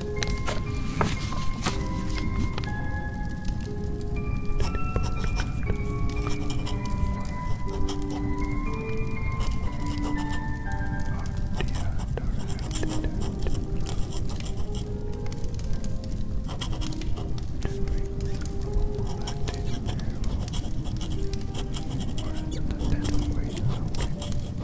Or is it the dead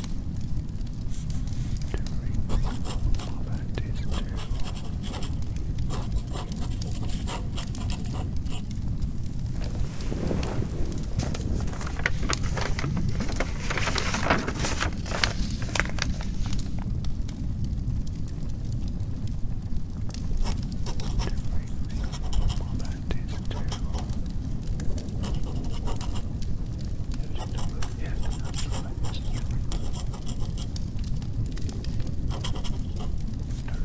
That is terrible. That is terrible. Yeah, that's right. Start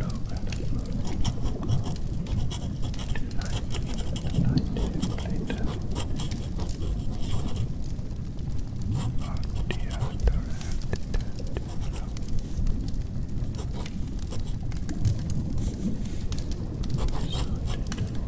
over and upload. Tonight, tonight, later. Oh dear, I don't have to do it. So,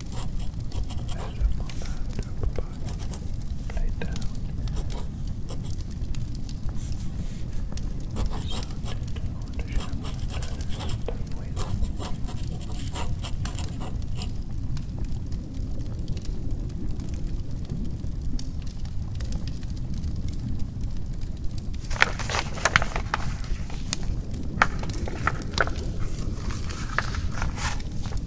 Measure my hand over back, lay down. So I want to share my Thank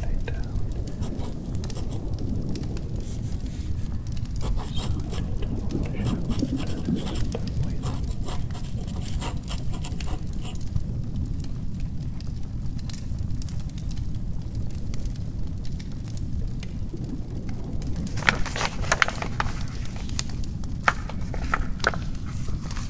lay down. Good.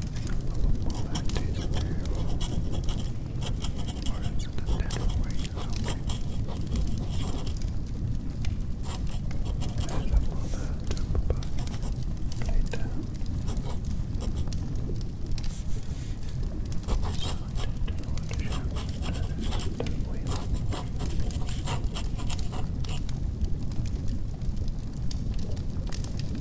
that tastes terrible. Or is it the dental wings or something? There's a mother to put play down. So I don't know what to show. That is the dental wings.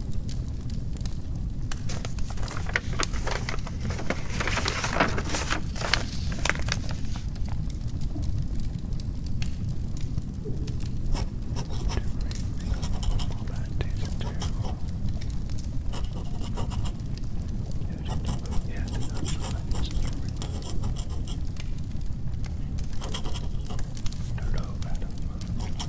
No, no, I don't know.